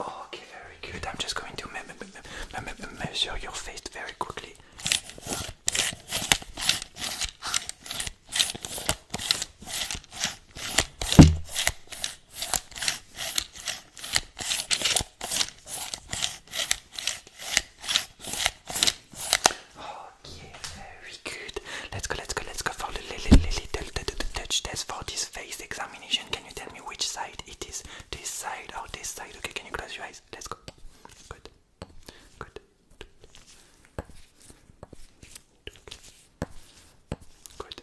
Okay, very good. I'm just going to measure your face very quickly. Okay, very good. Let's go, let's go, let's go for the little, little, little touch test for this face examination. Can you tell me which side it is? This side or this side? Okay, can you close your eyes? Let's go. Good. Good. Good.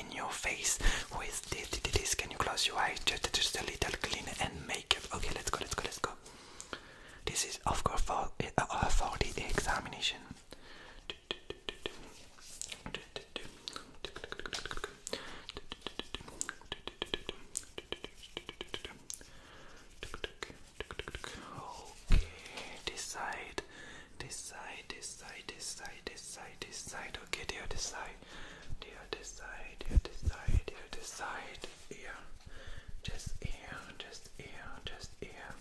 in your face with this. Can you close your eyes? Just, a little cleaner and make it. Okay, let's go, let's go, let's go. This is, of course, for, uh, uh for the examination. Okay, this this side, this side, this side, this side, this side. Okay, the other side. The other side, the other side, the other side. Here. Just here, just here, just here.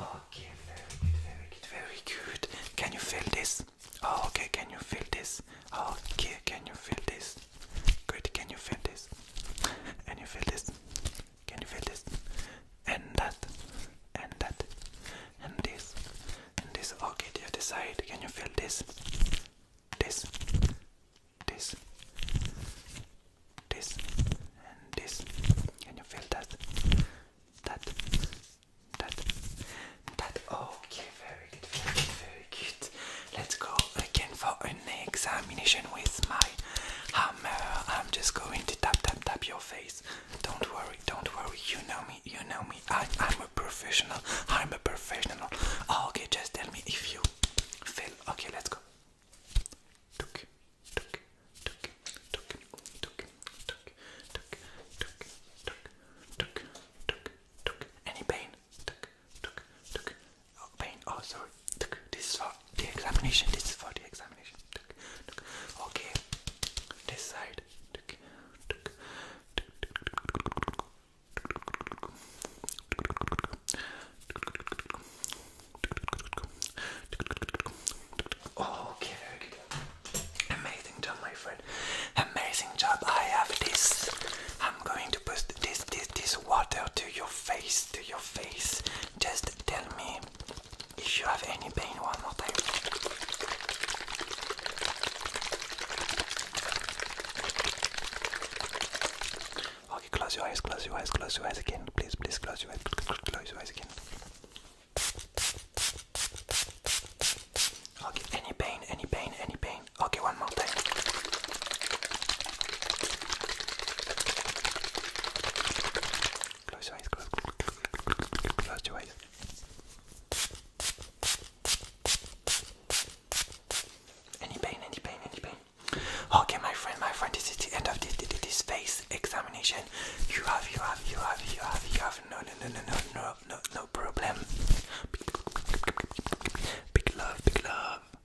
Okay, very good, very good, very good. Can you feel this? Oh, okay, can you feel this? Okay, can you feel this? Great, can you feel this? Can you feel this? Can you feel this? And that, and that, and this, and this. Okay, the other side. Can you feel this? This, this, this, and this. Can you feel that? That, that, that. Okay, very good, very good, very good. Let's go again for an examination with my hammer. I'm just going to tap, tap, tap your your face. Don't worry, don't worry. You know me, you know me. I, I'm a professional. I'm a professional. Oh, okay, just tell me if you fail. Okay, let's go. Tuk, tuk, tuk, tuk, tuk, tuk, tuk, tuk, tuk, tuk, tuk. Any pain? Tuk, tuk, tuk. Oh, pain. Oh, sorry. Tuk. This is for the examination. This is for the examination. Okay. This side. Okay, very good. Amazing job, my friend. Amazing job. I have this. I'm going to put this, this, this water to your face, to your face. Just tell me if you have any pain one more time. Okay, close your eyes, close your eyes, close your eyes again. Please, please close your eyes, close your eyes again. Okay, any pain, any pain, any pain. Okay, one more time. Close your eyes, close, close your eyes. Any pain, any pain, any pain. Okay, my friend, my friend, this is the end of this this, this face examination. You have, you have, you have, you have, you have no, no, no, no, no, no, no, no problem. Big love, big love.